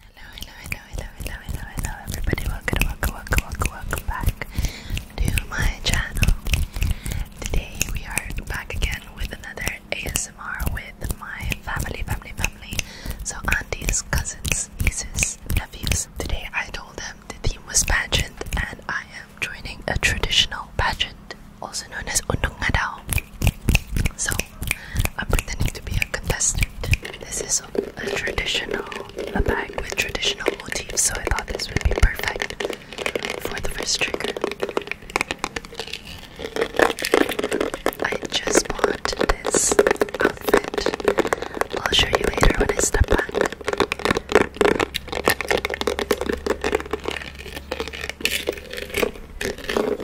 Hello, hello, hello, hello, hello, hello, hello, everybody. Welcome, welcome, welcome, welcome, welcome back to my channel. Today we are back again with another ASMR with my family, family, family. So aunties, cousins, nieces, nephews. Today I told them the theme was pageant and I am joining a traditional pageant, also known as Undungadao. So I'm pretending to be a contestant. This is a traditional, a bag with traditional motifs, so I thought this would be perfect for the first trigger. I just bought this outfit. I'll show you later when I step back.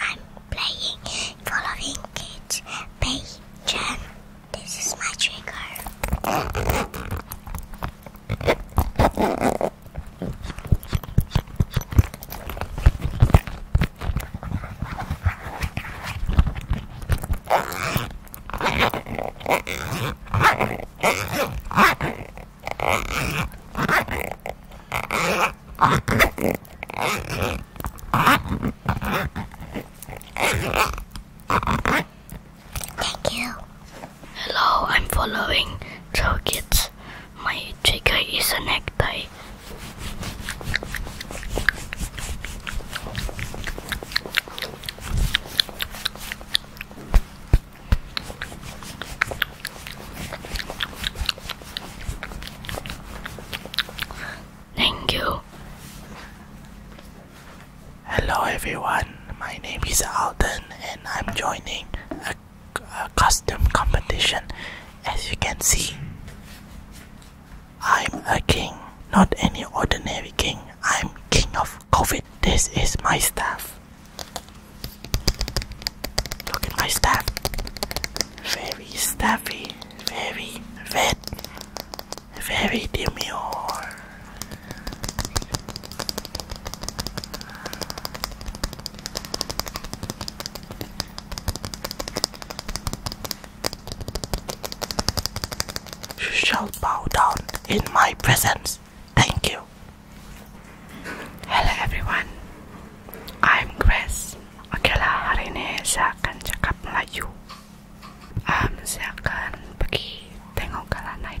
I'm playing following kids Patreon. This is my trigger. Thank you. Hello, I'm following Joe Kids. My trigger is a necktie. Thank you. Hello everyone, my name is Alden and I'm joining a, a custom competition. As you can see, I'm a king, not any ordinary king. I'm king of COVID. This is my staff. Look at my staff very stuffy, very wet, very demure. You shall bow down in my presence. Thank you. Hello, everyone. I'm Chris. Oke lah, hari ini saya akan cakap Melayu. saya akan pergi tengok gala night.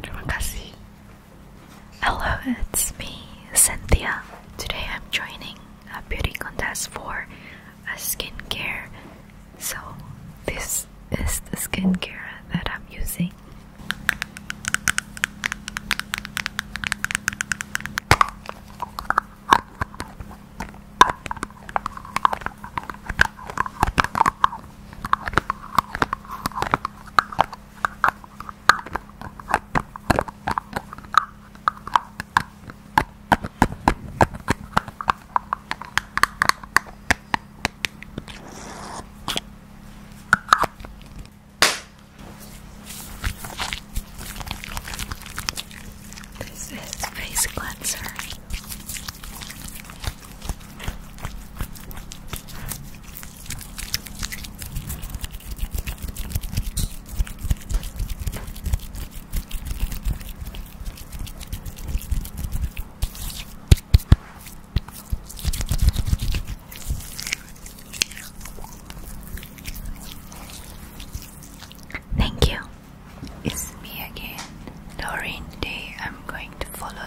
Terima kasih. Hello, it's me, Cynthia. Today I'm joining a beauty contest for a skincare. So, this is the skincare that I'm using. This is face cleanser. Thank you. It's me again, Doreen. Today I'm going to follow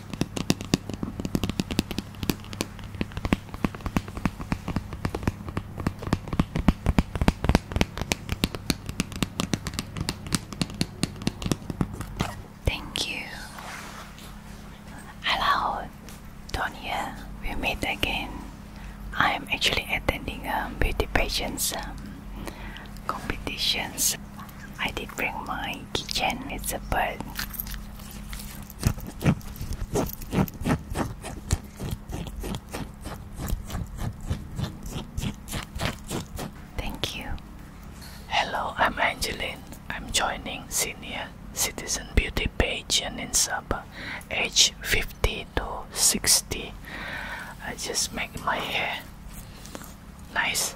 Thank you. Hello, Tonya. We meet again. I'm actually attending um, beauty pageants um, competitions. I did bring my kitchen. It's a bird. Thank you. Hello, I'm Angeline. I'm joining Senior Citizen Beauty page in Sabah, age 50 to 60. I just make my hair nice.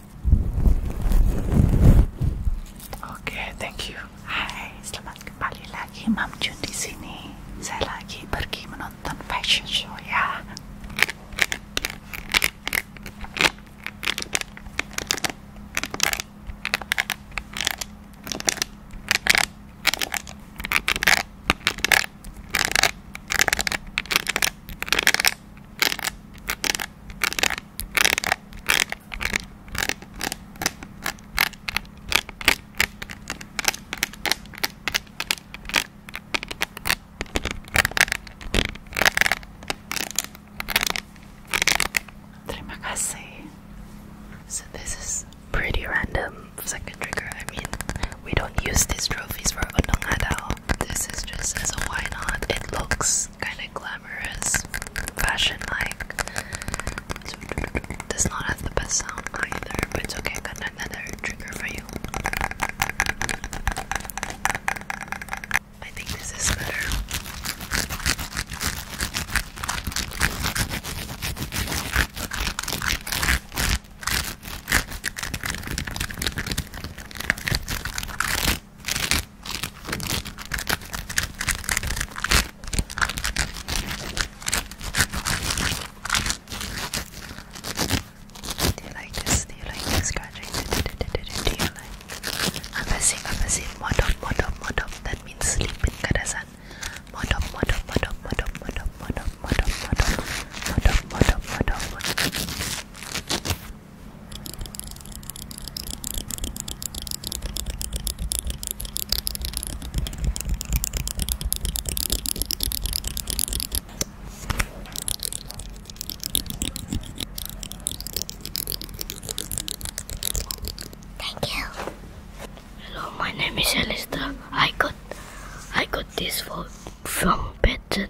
Oke, thank you. Hai, selamat kembali lagi Mam Jun di sini. Saya lagi pergi menonton fashion show ya. Terima kasih. So this is pretty random second trigger. I mean, we don't use these trophies for at all this is just as a why not. It looks kind of glamorous, fashion like. Does not have the best sound either, but it's okay. got another trigger for you. I think this is better. Do you like this? Do you like this scratching? Do you like? Apasin, apasin, modop, modop, modop. That means sleep in Modop, modop, modop, modop, modop, modop, modop, modop, modop, modop, modop, modop. Thank you. Hello, my name is Alistair. I got I got this for from Benton.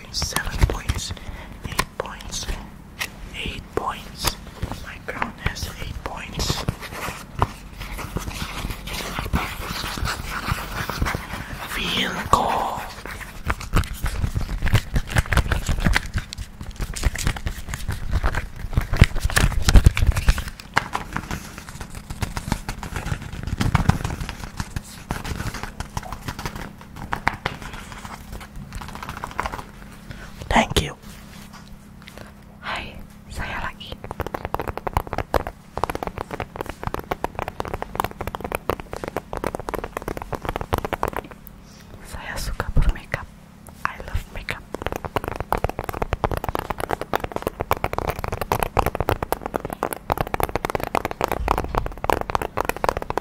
7 points, 8 points, 8 points. My crown has 8 points. Vilco. Thank you. Hai, saya lagi. Saya suka bermakeup. I love makeup.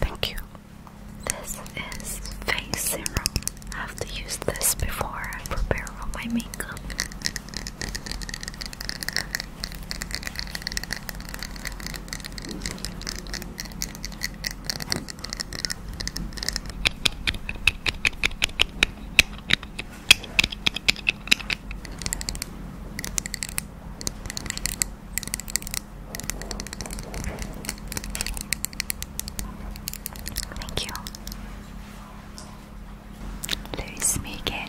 Thank you. This is face serum. I have to use this before I prepare for my makeup. Thank you. Louis Megan.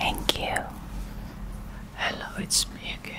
Thank you. Hello, it's me again.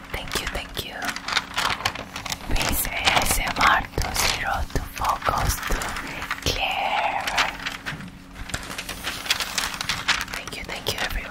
Thank you, thank you. Please ASMR to zero to focus to clear. Thank you, thank you, everyone.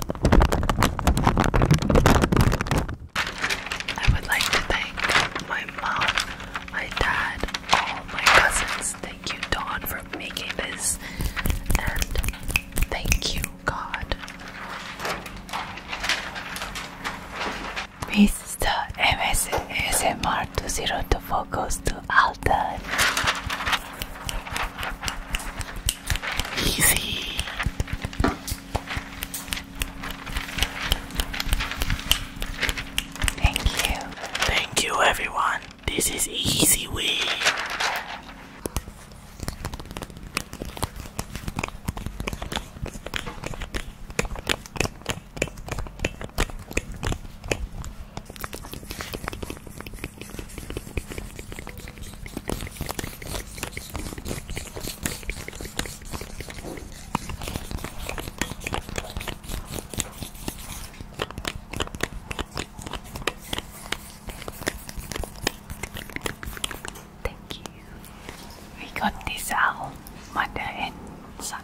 I would like to thank my mom, my dad, all my cousins. Thank you, Dawn, for making this, and thank you, God. Mr. two zero two four goes to Alden. Easy. Thank you. Thank you, everyone. This is Easy We. Thank you. We got this owl, mother and son.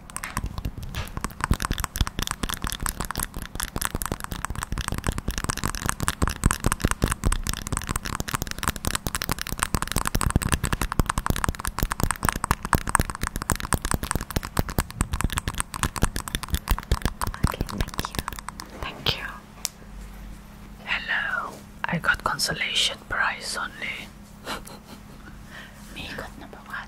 Okay, thank you. Thank you. Hello. I got consolation prize only. Me got number one.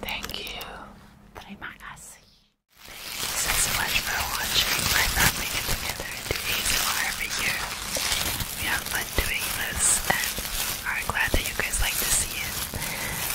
Thank you. Thank you so much for watching. My get together and do ASMR every year. We have fun doing this and are glad that you guys like to see it.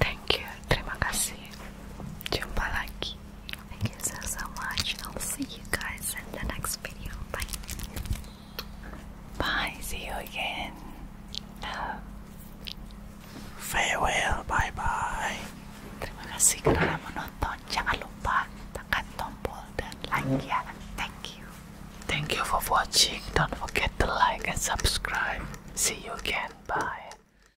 Thank you. Terima kasih. Jumpa lagi. Thank you so so much. I'll see you guys in the next video. Bye. Bye. See you again. Farewell. Bye bye. Terima kasih kerana menonton. Jangan lupa tekan tombol dan like ya. Thank you. Thank you for watching. Don't forget to like and subscribe. See you again. Bye.